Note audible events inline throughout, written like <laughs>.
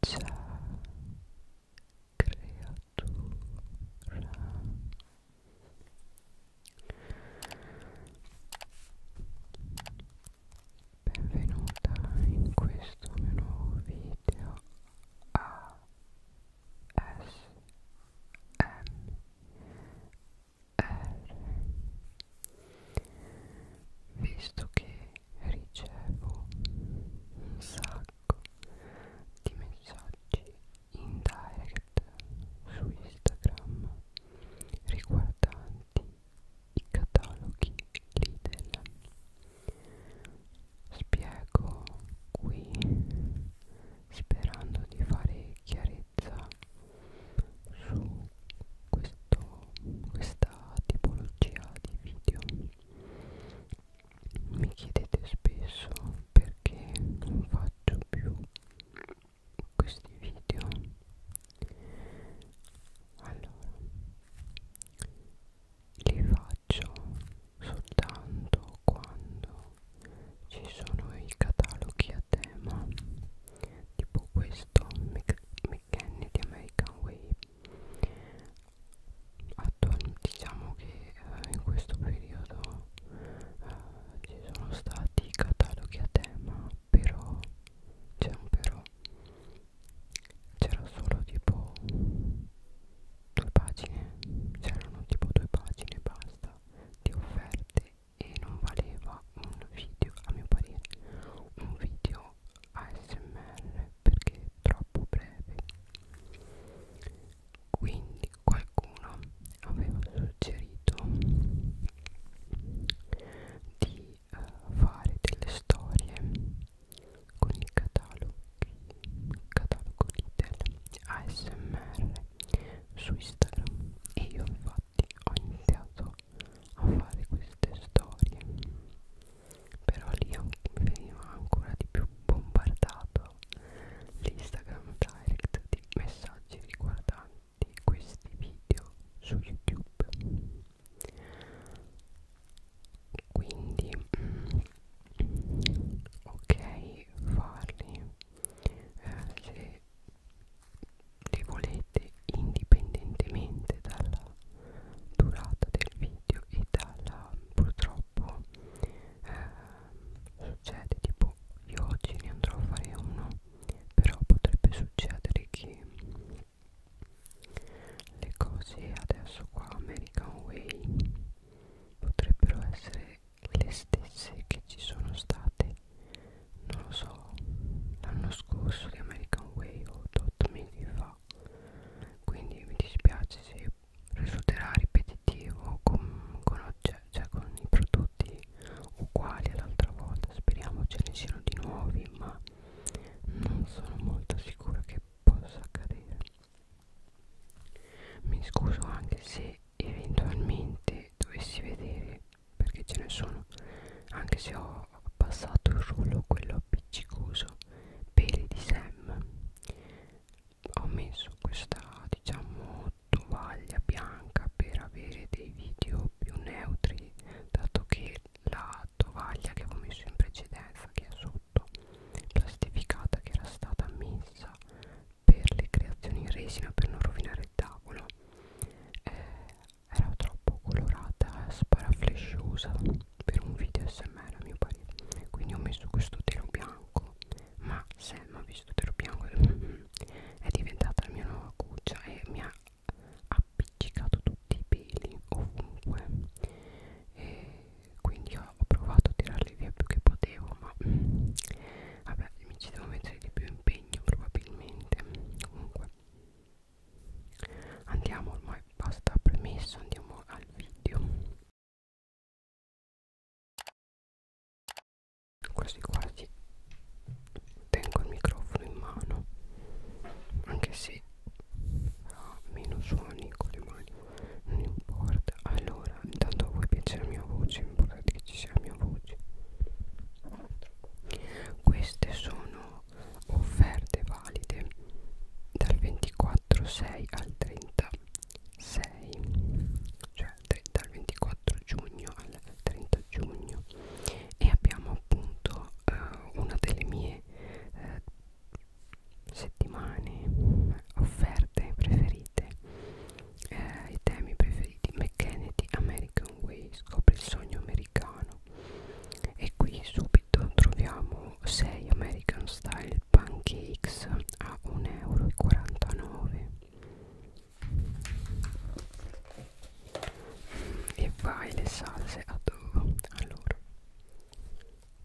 Ciao creatura Benvenuta in questo mio nuovo video a S M R Visto che ricevo un sacco di messaggi in direct su Instagram riguardanti i cataloghi Lidl spiego qui sperando di fare chiarezza su questi fatto questa tipologia di video mi chiedete spesso perché non faccio più questi video allora li faccio soltanto quando ci sono i cataloghi a tema tipo questo McKenny di American Way diciamo che eh, in questo periodo eh, ci sono stati cataloghi a tema però c'è un però c'era solo tipo due pagine c'erano tipo due pagine basta di offerte e non valeva un video a mio parere un video ASMR perché è troppo breve quindi qualcuno aveva suggerito di uh, fare delle storie con il catalogo, il catalogo Lidl ASMR su Instagram e io infatti ho iniziato a fare queste storie però lì veniva ancora di più bombardato l'Instagram direct di messaggi riguardanti questi video su YouTube quindi mm, ok farli eh, se li volete indipendentemente dalla durata del video e dalla purtroppo eh, succede tipo io oggi ne andrò a fare uno però potrebbe succedere che le cose adesso qua American Way potrebbero essere le stesse che ci sono state non lo so l'anno scorso di American Way o 8 mesi fa quindi mi dispiace se risulterà ripetitivo con, con, cioè con i prodotti uguali all'altra volta speriamo ce ne siano di nuovi ma non sono molto sicura che possa accadere mi scuso anche se eventualmente dovessi vedere perché ce ne sono anche se ho ho abbassato il rullo quello appiccicoso peli di Sam ho messo questa diciamo tovaglia bianca per avere dei video più neutri dato che la tovaglia che avevo messo in precedenza che è sotto plastificata che era stata messa per le creazioni in resina per non rovinare il tavolo eh, era troppo colorata e sparaflesciosa per un video smr a mio parere quindi ho messo questo telo bianco ma se non ho visto telo bianco <laughs> è diventata la mia nuova cuccia e mi ha appiccicato tutti i peli ovunque e quindi ho provato a tirarli via più che potevo ma vabbè mi ci devo mettere di più impegno probabilmente comunque andiamo ormai basta premesso andiamo al video quasi quasi tengo il microfono in mano anche se ha meno suoni con le mani non importa allora intanto a voi piace la mia voce importante che ci sia la mia voce queste sono offerte valide dal 24-6 al 36 cioè dal 24 giugno al 30 giugno e abbiamo appunto eh, una delle mie eh, settimane eh, offerte preferite eh, i temi preferiti McKennedy American Way scopri il sogno americano e qui subito troviamo 6 American Style Pancakes a 1,49 euro e vai le salse a dove? allora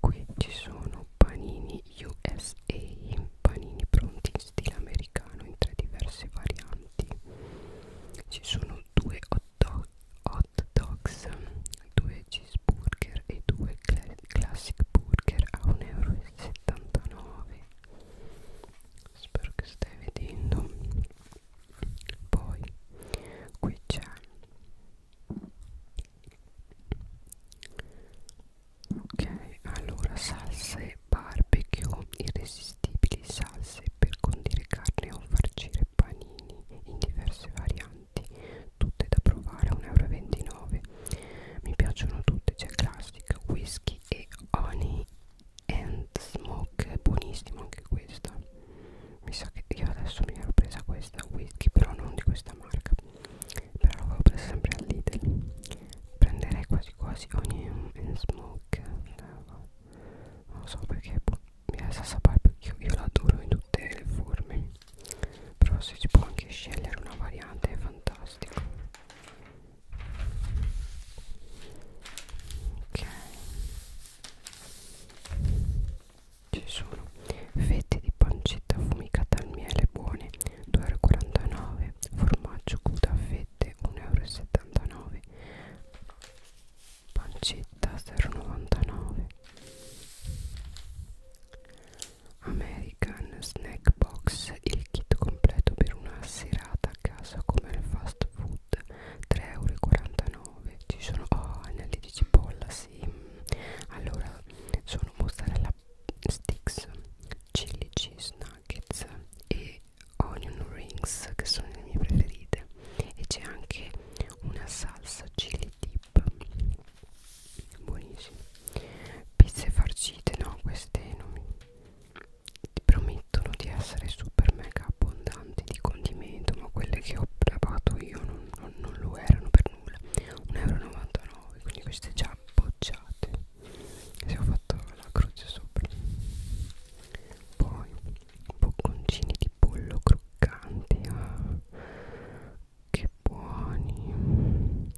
qui ci sono panini USA panini pronti in stile americano in tre diverse varianti ci sono due hot, dog, hot dogs, 2 cheeseburger e 2 classic burger a 1,79 euro. Spero che stai vedendo. Poi qui c'è ok allora salse barbecue irresistibili salse per condire carne o farcire panini in diverse varianti tutte da provare a 1,29 euro mi piacciono tutte c'è classic whisky e honey and smoke buonissimo anche questa mi sa che io adesso mi ero presa questa whisky però non di questa marca però l'avevo presa sempre al Lidl prenderei quasi quasi ogni and smoke non so perché boh mi resta sapere perché io l'adoro in tutte le forme però se si può anche scegliere una variante è fantastico ok ci sono fette di pancetta affumicata al miele buone 2,49 formaggio crudo a fette 1,79 euro pancetta 0,99 American Snack Box il kit completo per una serata a casa come il fast food 3,49€ ci sono oh, anelli di cipolla sì allora sono mozzarella sticks chili cheese nuggets e onion rings che sono le mie preferite e c'è anche una salsa chili dip buonissime pizze farcite no queste non mi promettono di essere super mega abbondanti di condimento ma quelle che ho lavato io non, non, non lo erano per nulla 1,99€ quindi queste già bocciate se ho fatto la croce sopra poi bocconcini di pollo croccanti ah, che buoni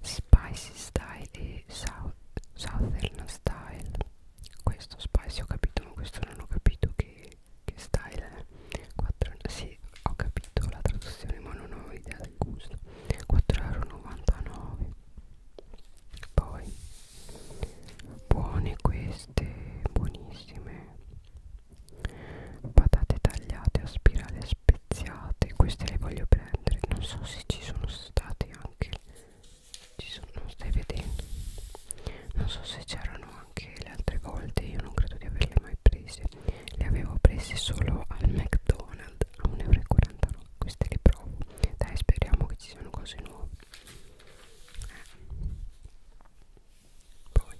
spicy style e South, southern style questo spicy ho capito ma questo non ho capito che, che style è 4, sì ho capito la traduzione ma non ho idea del gusto 4,99 euro poi buone queste buonissime patate tagliate a spirale speziate queste le voglio prendere non so se ci sono state anche ci sono non stai vedendo non so se c'erano anche le altre volte io non credo di averle mai prese le avevo prese solo al McDonald's a 1,49 euro queste le provo dai speriamo che ci siano cose nuove poi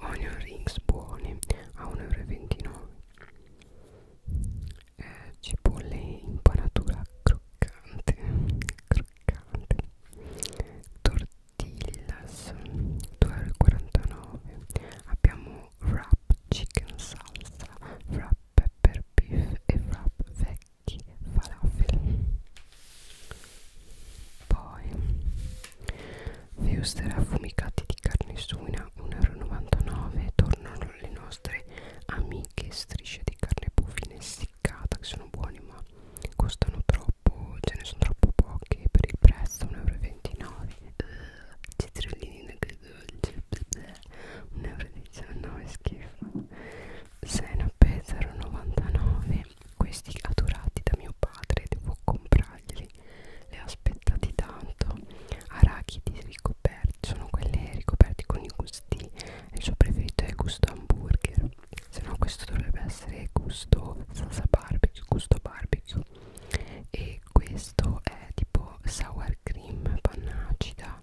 onion rings buoni a 1,29 euro eh, cipolle impanatura croccante croccante tortillas 2,49 abbiamo wrap chicken salsa wrap pepper beef e wrap veg di falafel poi Feuster affumicati di carne suina 1,99€ tornano le nostre amiche strisce di carne bufina essiccata che sono buone ma costano troppo ce ne sono troppo poche per il prezzo 1,29€ citrellini dolce 1,19€ schifo 6,99 questi adorati da mio padre devo comprarglieli li ho aspettati tanto arachidi ricoperti sono quelli ricoperti con i gusti il suo preferito è il gusto hamburger se no questo dovrebbe essere gusto salsa barbecue gusto barbecue e questo è tipo sour cream panna acida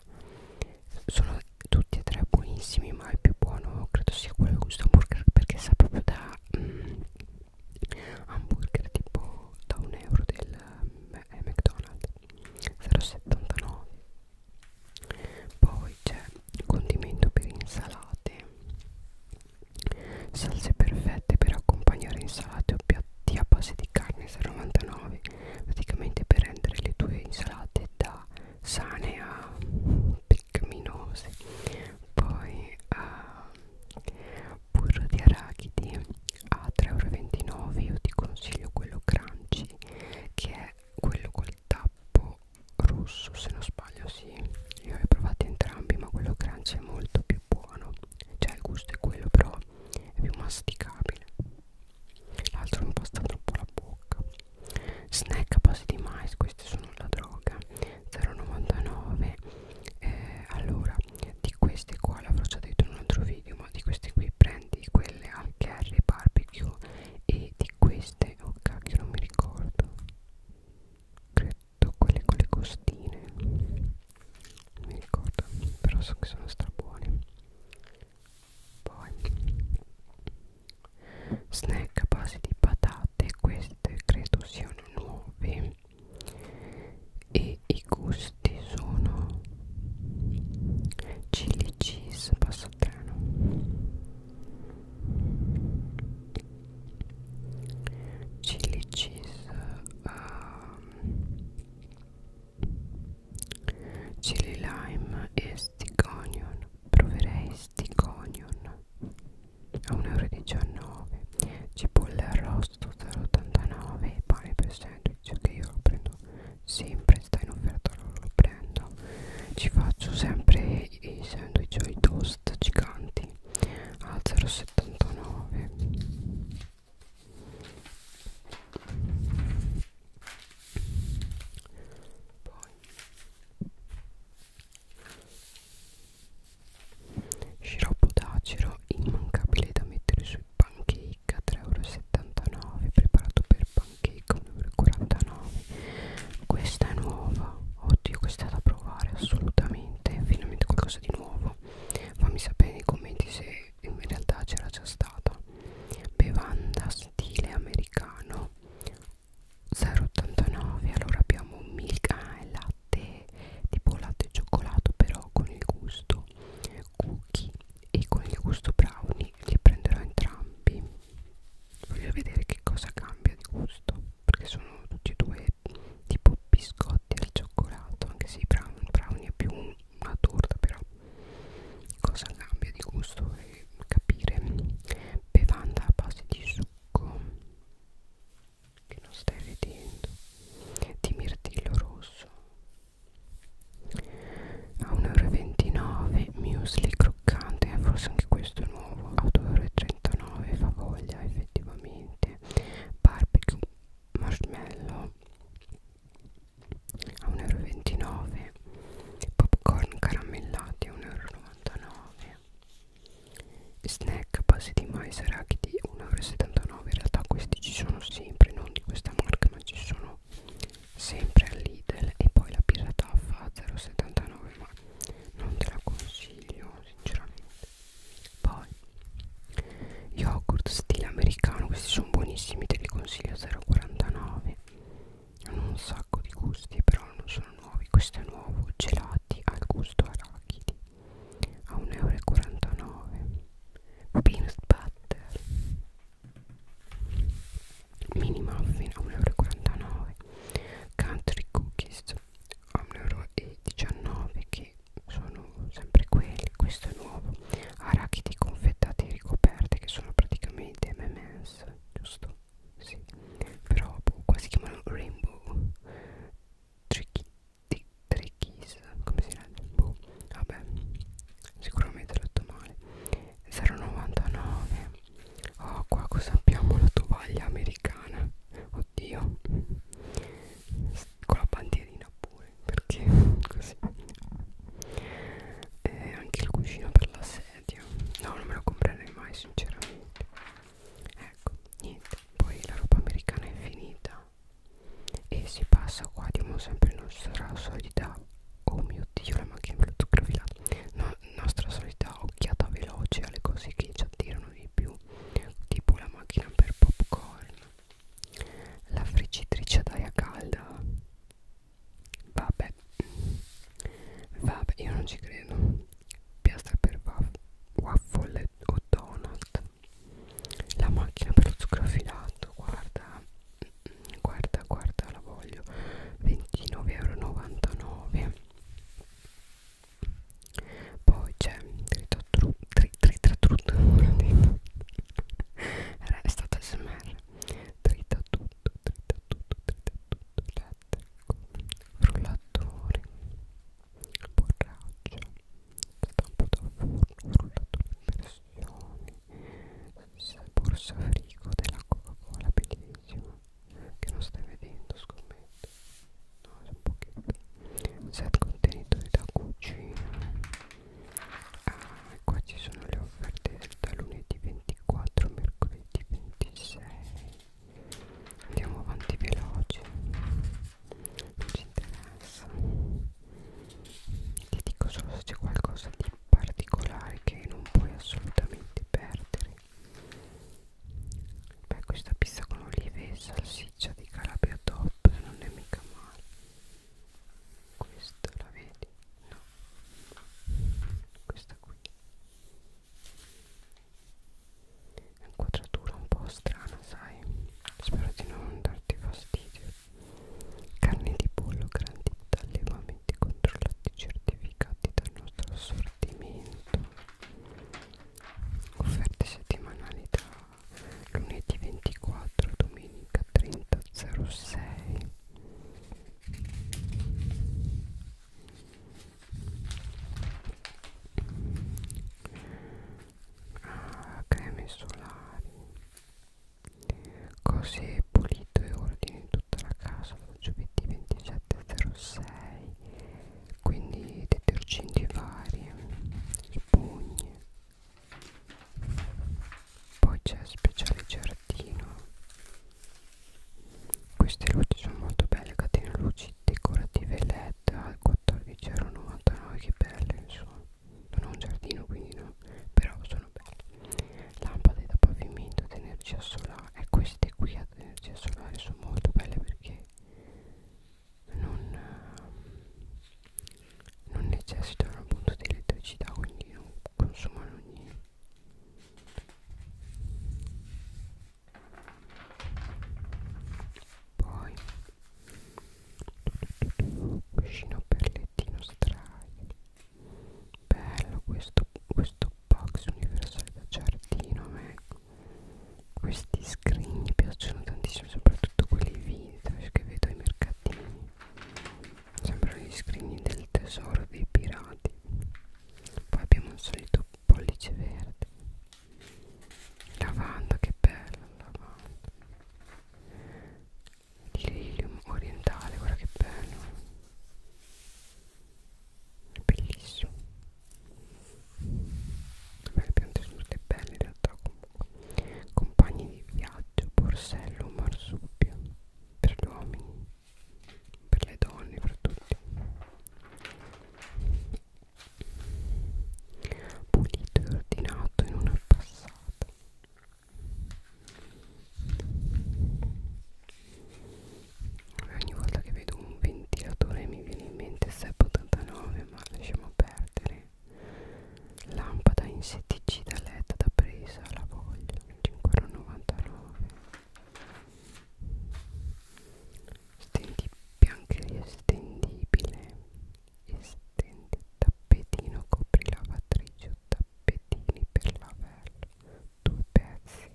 sono tutti e tre buonissimi ma il più buono credo sia quello del gusto hamburger perché sa proprio da mm, hamburger tipo da un euro del eh, McDonald's 0,79 poi c'è condimento per insalate salse perfette per accompagnare insalate o piatti a base di carne 0,99 praticamente per rendere le tue insalate da sane a peccaminose poi a ehm, burro di arachidi a 3,29 euro io ti consiglio quello crunchy che è quello col tappo rosso se non sbaglio sì io li ho provati entrambi ma quello crunchy è molto più buono cioè il gusto è quello però è più masticabile l'altro non pasta troppo la bocca snack a base di mais questi sono la droga 0,99 eh, allora di queste qua l'avrò già detto in un altro video ma di queste qui prendi quelle al curry barbecue e di queste oh cacchio non mi ricordo credo quelle con le costine non mi ricordo però so che sono strabuone poi snack a base di patate queste credo siano nuove e i gusti sono chili cheese passatano chili cheese um, chili lime e stick onion proverei stick onion a 1,19 euro cipolla arrosto 0,89 e pane per sandwich che io lo prendo sempre sta in offerta allora lo prendo ci faccio sempre i, i sandwich o i toast giganti a 0,79 poi sciroppo d'acero immancabile da mettere sui pancake a 3,79€ preparato per pancake a 1,49€ questa è nuova oddio questa è da provare assolutamente finalmente qualcosa di nuovo fammi sapere nei commenti se in realtà c'era già stata bevanda stile americano 0,89 allora abbiamo un milk ah, è latte tipo latte e cioccolato però con il gusto cookie e con il gusto brownie li prenderò entrambi voglio vedere che cosa cambia di gusto perché sono tutti e due tipo biscotti al cioccolato anche se i brownie, brownie è più una torta però cosa cambia di gusto e capire bevanda a base di succo che non stai vedendo di mirtillo rosso a 1,29 euro muesli croccante eh, forse anche questo è nuovo a 2,39 euro favoglia effettivamente barbecue marshmallow a 1,29 euro popcorn caramellati a 1,99 euro snack a base di mais e arachidi 1,79 euro in realtà questi ci sono sempre non di questa marca ma ci sono sempre al Lidl e poi la birra taffa a 0,79 ma non te la consiglio sinceramente poi yogurt stile americano questi sono buonissimi te li consiglio a 0,99 0,49 hanno un sacco di gusti però non sono nuovi questo è nuovo gelati al gusto arachidi a 1,49 euro peanut butter mini muffin a 1,49 euro country cookies a 1,19 euro che sono sempre quelli questo è nuovo arachidi confettati e ricoperte che sono praticamente MMS giusto? sì però boh, qua si chiamano rainbow tricky trickies come si legge? boh vabbè sicuramente l'ho detto male 0,99 oh qua cosa abbiamo la tovaglia americana oddio con la bandierina pure perché <laughs> così e anche il cuscino per la sedia no non me lo comprerei mai sinceramente ecco niente poi la roba americana è finita e si passa qua diamo sempre nostra solita oh mio dio la macchina me l'ho sgravilata no, nostra solita occhiata veloce alle cose che ci attirano di più tipo la macchina per popcorn la friggitrice ad aria calda vabbè vabbè io non ci credo piastra per waffle o donut la macchina per lo zucchero filato guarda guarda guarda la voglio 29,99€ poi c'è tritatrut tritatrut è <laughs> stata smr trita tutto, trita tutto, trita tutto, elettrico, frullatore, borraccia, stampo da forno, frullatore in pressione, borsa frigo della Coca-Cola, bellissima, che non stai vedendo scommetto, no, è un pochetto, set contenitori da cucina ah, qua ci sono le offerte da lunedì 24 mercoledì 26 andiamo avanti veloce non ci interessa ti dico solo se c'è qualcosa di particolare che non puoi assolutamente perdere beh questa pizza con olive e salsiccia di calabria top non è mica male questa la vedi? no questa qui è un'inquadratura un po' strana sai spero di non darti fastidio carne di pollo garantita da allevamenti controllati certificati dal nostro assortimento offerte settimanali da lunedì 24 domenica 30.06 ah, creme solari cose pulito e ordine in tutta la casa da giovedì 27.06 quindi detergenti vari spugne poi c'è speciale giardino queste luci sono molto belle catene luci decorative led a 14,99 che belle insomma non ho un giardino quindi no però sono belle lampade da pavimento ad energia solare e eh, queste qui ad energia solare sono molto belle perché non non necessitano appunto di elettricità quindi non consumano niente poi cuscino per lettino straio bello questo, questo box universale da giardino me. questi scrigni piacciono tantissimo soprattutto quelli vintage che vedo ai mercati pettini sembrano gli scrigni del tesoro dei pirati poi abbiamo il solito pollice verde lavanda che bella lavanda lilium orientale guarda che bello è bellissimo Vabbè, le piante sono tutte belle in realtà compagni di viaggio, borsello, marsupio per gli uomini, per le donne, per tutti pulito e ordinato in una passata ogni volta che vedo un ventilatore mi viene in mente SEP89 ma lasciamo perdere Lampada insetticida LED da presa, la voglio, 5,99 Stendi biancheria estendibile, estendi tappetino, copri lavatrice o tappetini per lavello, due pezzi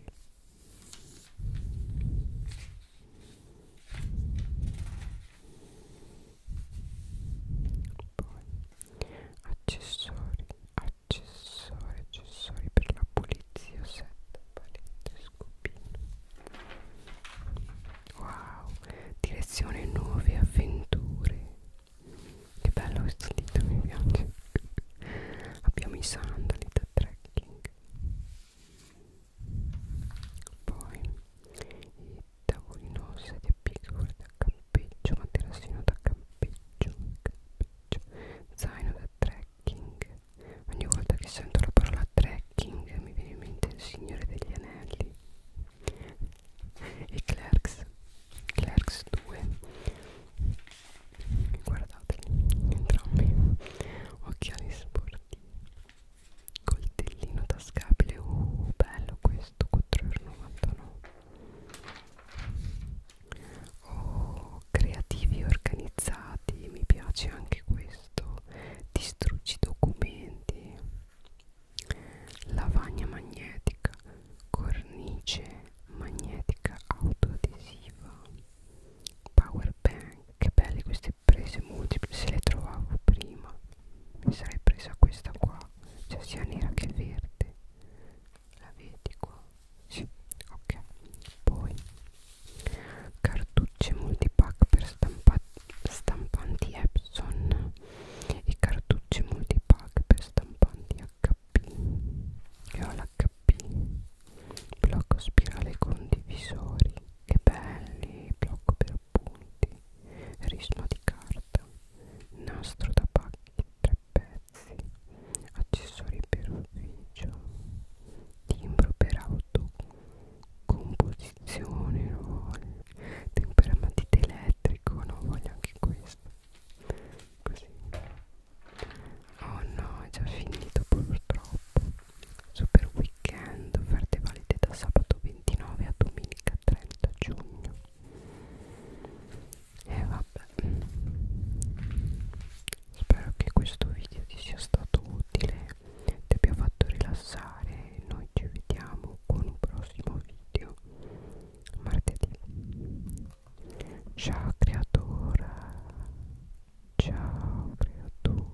poi accessori accessori accessori per la pulizia set palette scopino wow direzione nuove avventure che bello questo dito mi piace abbiamo i sandali da trekking poi i tavolino sedia piccola da campeggio materassino da campeggio, campeggio zaino da trekking ogni volta che sento la parola trekking mi viene in mente il signore degli anelli e Clerks Clerks 2 guardateli entrambi occhiali sportivi coltellino tascabile uh bello questo 4,99 oh creativi organizzati mi piace anche questo distruggi documenti lavagna magnetica cornice magnetica autoadesiva power bank che belle queste prese multiple se le trovavo prima mi sarei presa questa qua qua c'è cioè, sia nera che verde la vedi qua? sì, ok poi cartucce multipack per stampa stampanti Epson e cartucce multipack per stampanti HP io ho l'HP blocco spirale condivisori che belli blocco per appunti, risma di carta, nastro da pacchi in tre pezzi, accessori per ufficio, timbro per auto, composizione, no, temperamatite elettrico, no, voglio anche questo, così. Oh no, è già finito purtroppo. Super weekend, offerte valide da sabato 29 a domenica 30 giugno e eh, vabbè spero che questo video ti sia stato utile ti abbia fatto rilassare noi ci vediamo con un prossimo video martedì ciao creatura ciao creatura